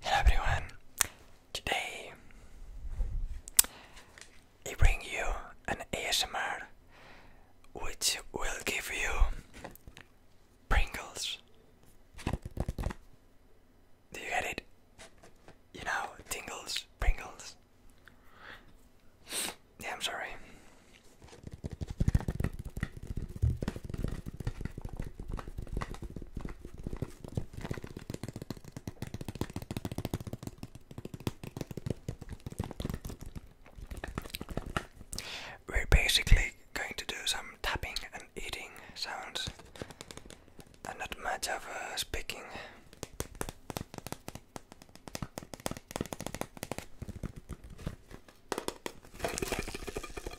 Hello everyone. Today I bring you an ASMR which will give you Pringles. Do you get it? You know, tingles, Pringles. I'm sorry. We're basically going to do some tapping and eating sounds and not much of uh, speaking.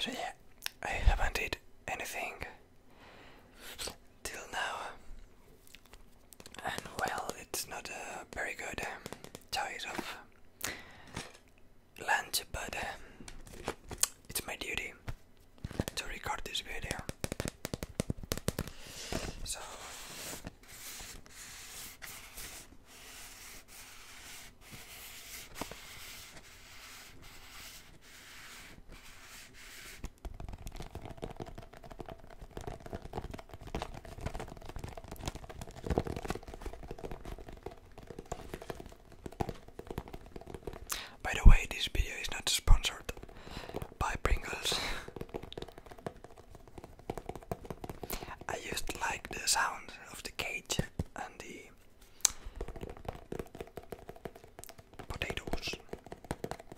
So yeah, I haven't did anything till now. And well, it's not a very good um, of lunch, but um, it's my duty to record this video. So. By the way, this video is not sponsored by Pringles. I just like the sound of the cage and the potatoes.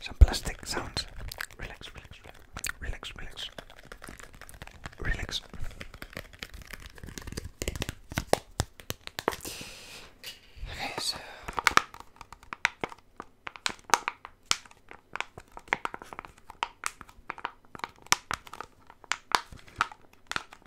Some plastic sounds. Relax, relax, relax, relax, relax. Okay, so.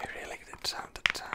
I really like the sound of time.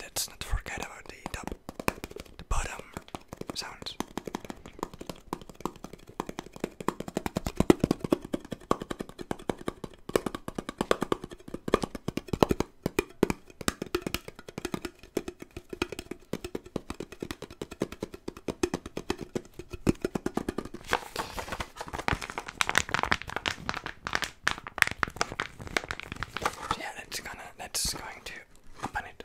let's not forget about the top, the bottom sounds. So yeah, that's gonna that's going to open it.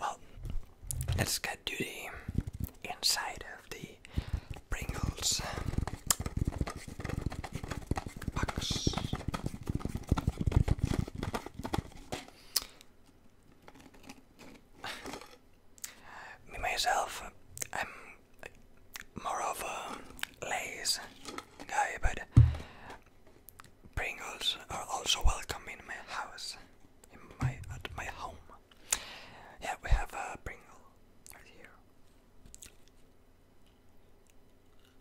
Well, let's get to the inside of the Pringles box. Me myself, I'm more of a Lay's guy, but Pringles are also welcome in my house, in my at my home. Yeah, we have a Pringle here.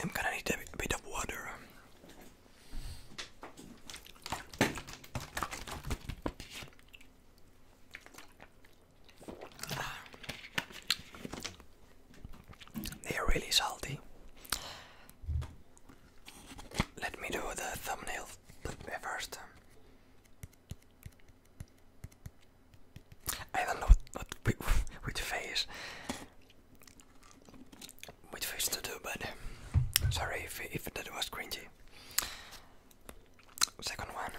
I'm gonna need a bit of water. They are really salty. Let me do the thumbnail first. I don't know what, what, which face, which face to do, but sorry if if that was cringy. Second one.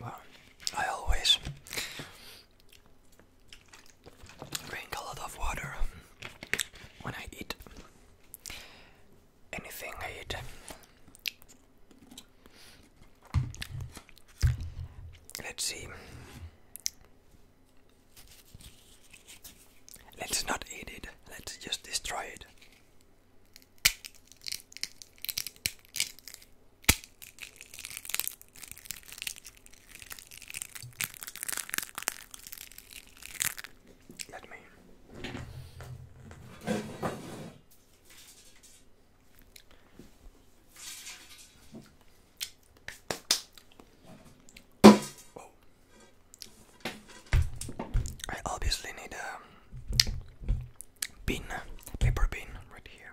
Well, I always drink a lot of water um, when I eat anything I eat. Let's see. Let's not eat it, let's just destroy it. Let me oh. I obviously need a bin, paper bin right here.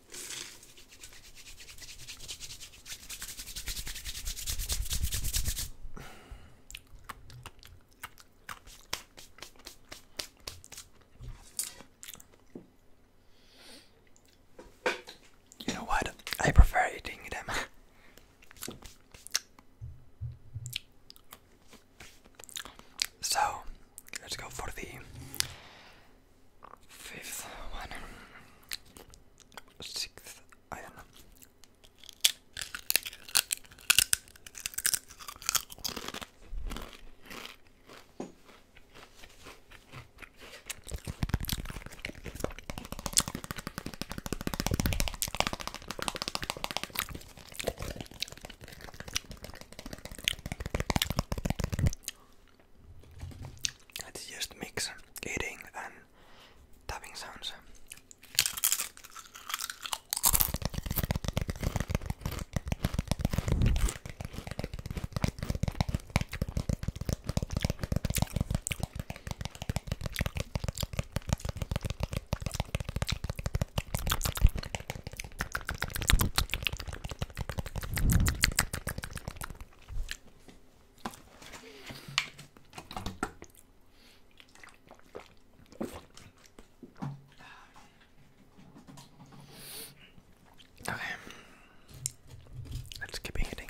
You know what? I prefer eating them. so let's go for the fifth one, sixth, I don't know. Let's just mix eating and tapping sounds. Okay. Let's keep eating.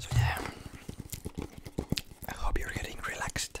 So, yeah, I hope you're getting relaxed.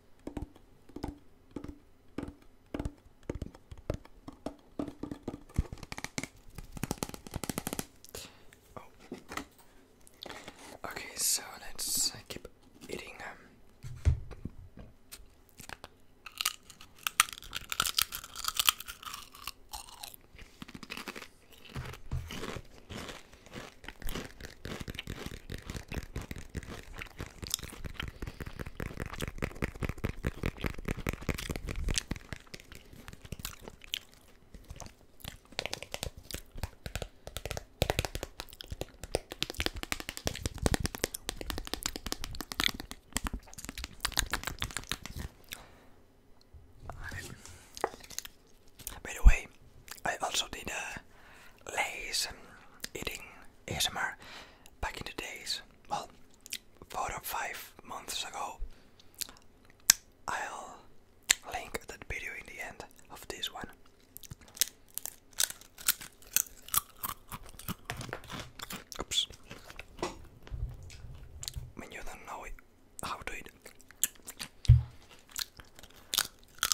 Oh. Okay, so let's uh, keep eating. Um. By the way, I also did a Lay's eating ASMR back in the days, well, four or five months ago. I'll link that video in the end of this one. When you don't know it, how do it.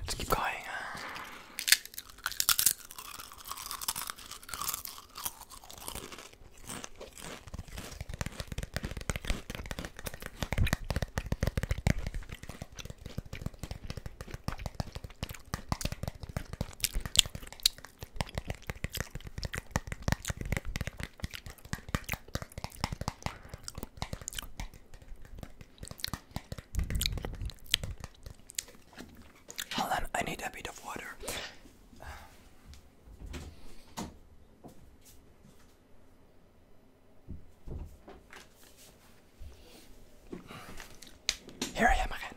Let's keep going. Hold on, I need a bit of water. Here I am again.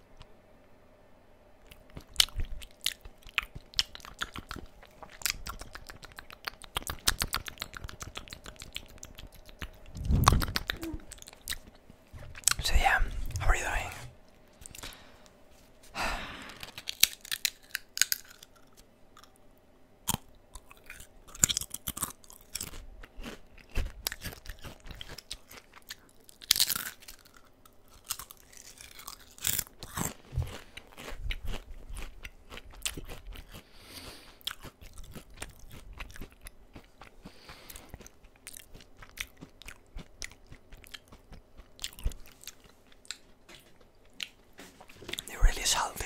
So yeah, how are you doing? It really is healthy.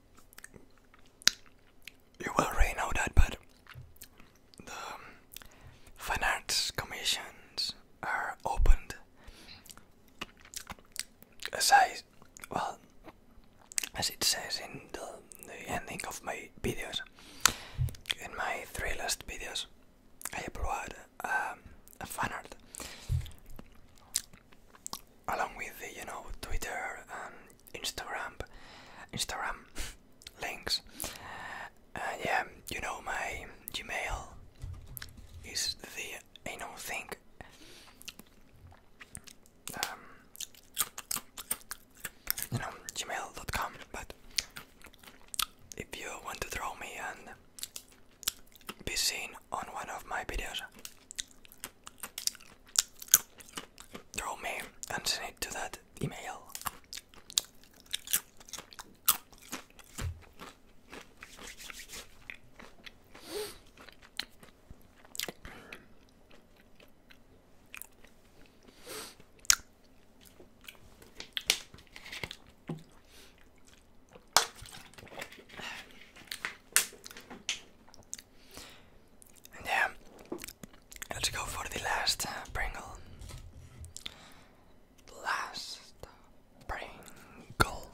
you will already know that, but the fine commissions are opened as I well as it says in the, ending of my videos in my three last videos I upload um, a fan art along with the you know Twitter and Instagram, Instagram links. Uh, yeah, you know my Gmail is the um, you know thing. you know gmail.com but if you want to throw me and be seen on one of my videos Throw me and send it to that email yeah, let's go for the last Pringle. Last Pringle.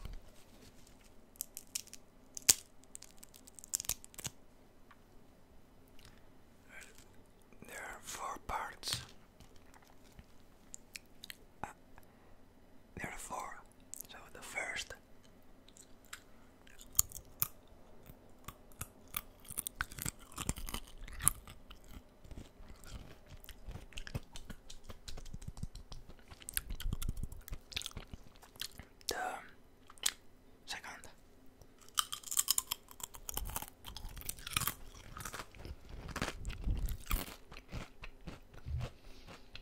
There are four parts. Uh, there are four. So the first the second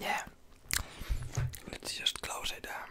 Yeah, let's just close it um.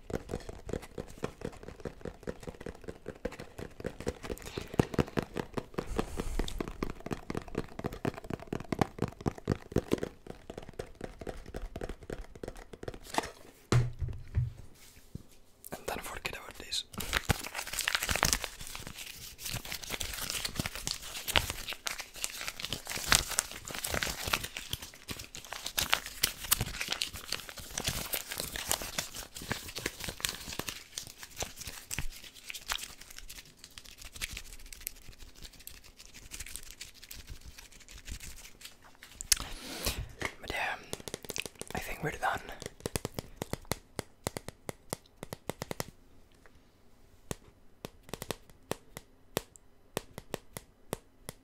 And then forget about this. Men det, um, I think we're done.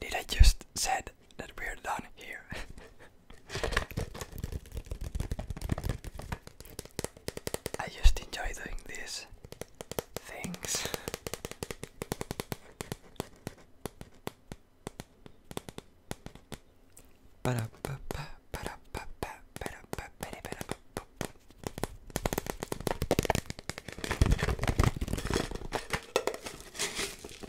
Did I just said that we're done here? I just enjoy doing these things.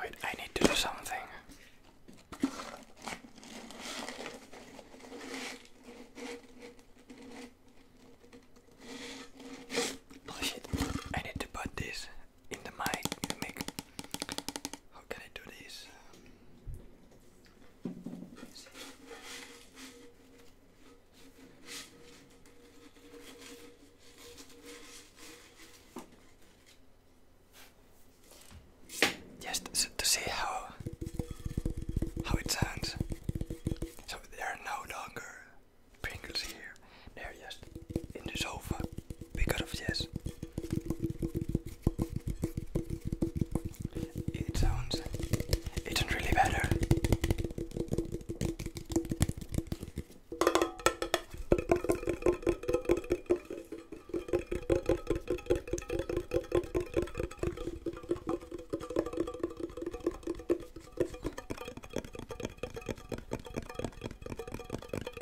Wait, I need to do something. I need to put this in the mic. mic. How can I do this? Just to see how how it sounds. So there are no longer Pringles here. They're just in the sofa because of this, It sounds. isn't really better.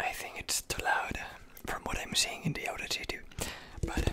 I think it's too loud from what I'm seeing in the audio too. But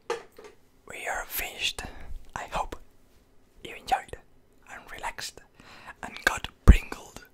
we are finished. I hope you enjoyed and relaxed and got pringled.